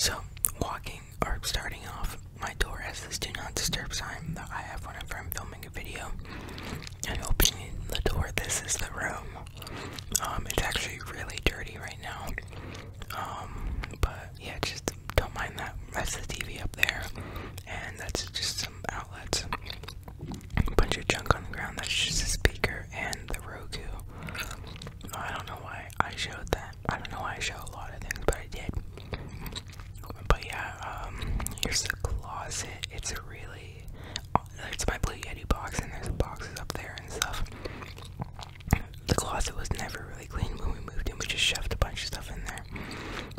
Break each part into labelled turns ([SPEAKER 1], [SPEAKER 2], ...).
[SPEAKER 1] So, walking or starting off, my door has this do not disturb sign that I have whenever I'm filming a video. And opening the door, this is the room. Um, it's actually really dirty right now. Um, but yeah, just don't mind that. That's the TV up there, and that's just some outlets. A bunch of junk on the ground. That's just a speaker and the Roku. I don't know why I showed that. I don't know why I show a lot of things, but I did. But yeah, um, here's the closet. It's a really, it's my Blue Yeti box, and there's boxes up there and stuff the closet was never really clean when we moved in. We just shoved a bunch of stuff in there.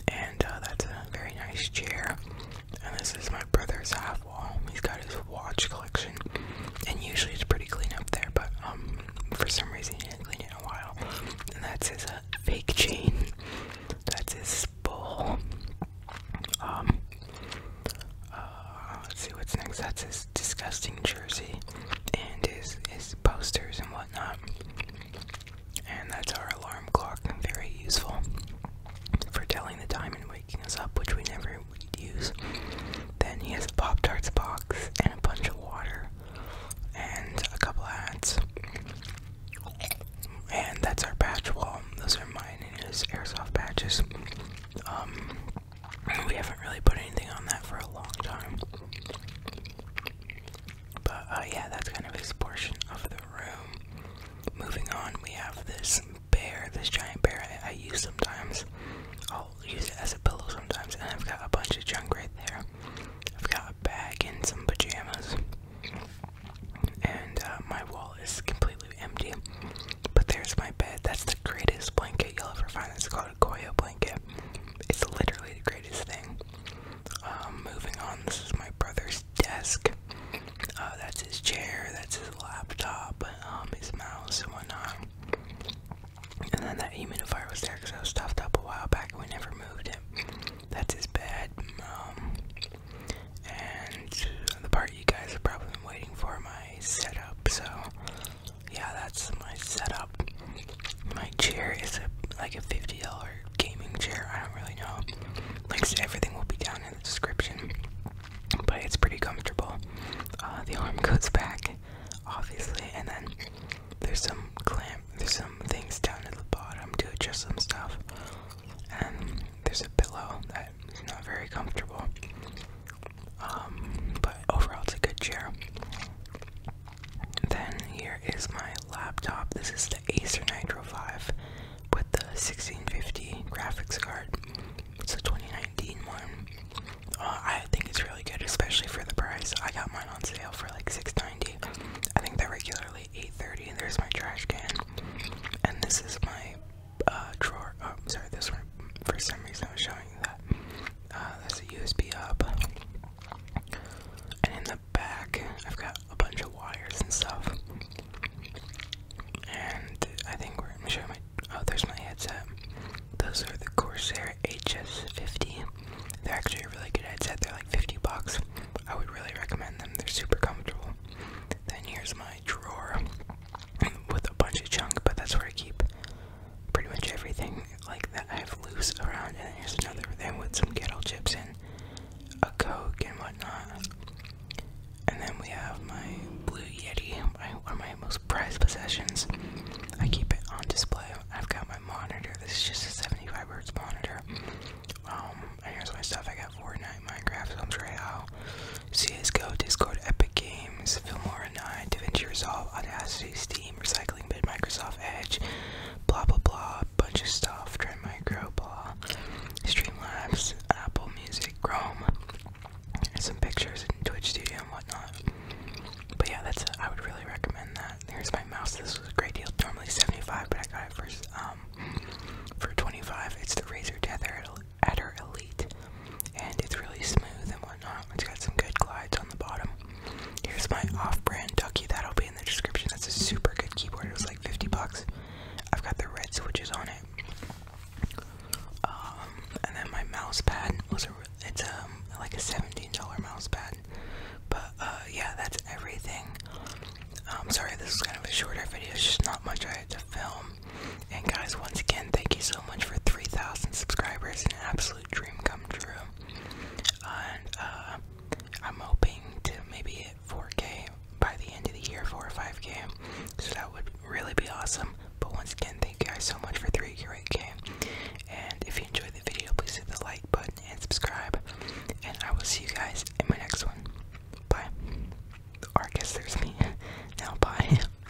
[SPEAKER 1] And uh, that's a very nice chair. And this is my brother's half wall. He's got his watch collection. And usually it's pretty clean up there, but um, for some reason he didn't clean it in a while. And that's his uh, fake chain. That's his bowl. Um, uh, let's see what's next. That's his disgusting jersey and his his posters and whatnot. And that's our alarm clock, very useful for telling the time and waking us up, which we never would use. Then he has a Pop Tarts box and a bunch of water and a couple hats. And that's our patch wall. Those are mine and his airsoft patches. Um, we haven't really put anything on that for a long time. But uh, yeah, that's kind of his portion of the room. Moving on, we have this bear, this giant bear I, use sometimes. I'll use it as a pillow sometimes, and I've got a bunch of junk right there. I've got a bag and some pajamas. And uh, my wall is completely empty. But there's my bed. That's the greatest blanket you'll ever find. It's called Goya blanket. It's literally the greatest thing. Um, moving on, this is my brother's desk. Uh, that's his chair, that's his laptop, um, his mouse, and whatnot. And then that humidifier was there because I was stuffed up a while back and I never moved it. That's his bed. Um, and the part you guys have probably been waiting for, my setup. So yeah, that's my setup. My chair is like a $50 gaming chair. I don't really know. Links to everything will be down in the description. But it's pretty comfortable. Uh, the arm goes back, obviously, and then there's some clamp, there's some things down at the bottom to adjust some stuff. And there's a pillow that's not very comfortable. Um, but overall, it's a good chair. Then here is my laptop. This is the Acer Nitro 5 with the 1650 graphics card. It's a 2019 one. Uh, I think it's really good, especially for the price. I got mine on sale for like 690. I think they're regularly 830. There's my trash can, and this is my uh, drawer. Oh, sorry, this one. For some reason, I was showing you that. Uh, that's a USB hub. And in the back, I've got a bunch of wires and stuff. And I think we're. Let me show my. Oh, there's my headset. Those are the Corsair HS50. They're actually a really good headset. They're like 50 bucks. I would really recommend them. They're super comfortable. Then here's my drawer with a bunch of junk, but that's where I keep pretty much everything like that I have loose around, and here's another thing with some kettle chips and a coke and whatnot. And then we have my Blue Yeti, one of my most prized possessions. I keep it on display. I've got my monitor. This is just a 75 hertz monitor. Um, and here's my stuff. I got Fortnite, Minecraft, Films Royale, CSGO, Discord, Epic Games, Filmora 9, DaVinci Resolve, Audacity. Steam, Recycling Bid, Microsoft Edge, blah blah blah, bunch of stuff, Trend Micro, blah, Streamlabs, Apple Music, Chrome, some pictures in Twitch Studio and whatnot. But yeah, that's I would really recommend that. There's my mouse. This was a great deal. Normally 75, but I got it for um for 25. It's the Razer Death Adder Elite, and it's really smooth and it's got some good glides on the bottom. Here's my off-brand ducky. That'll be in the description. That's a super good keyboard. It was like 50 bucks. I've got the red switches on it. Um, and then my mouse pad was a. It's a um, like a $17 mouse pad. But uh, yeah, that's everything. I'm um, sorry, this is kind of a shorter video. It's just not much I had to film. And guys, once again, thank you so much for 3,000 subscribers. An absolute dream come true. And uh, I'm hoping to maybe hit 4K by the end of the year, 4 or 5K. So that would really be awesome. But once again, thank you guys so much for 3K. And if you enjoyed the video, please hit the like button and subscribe. And I will see you guys in my next one. Bye. Or there's me. now, bye.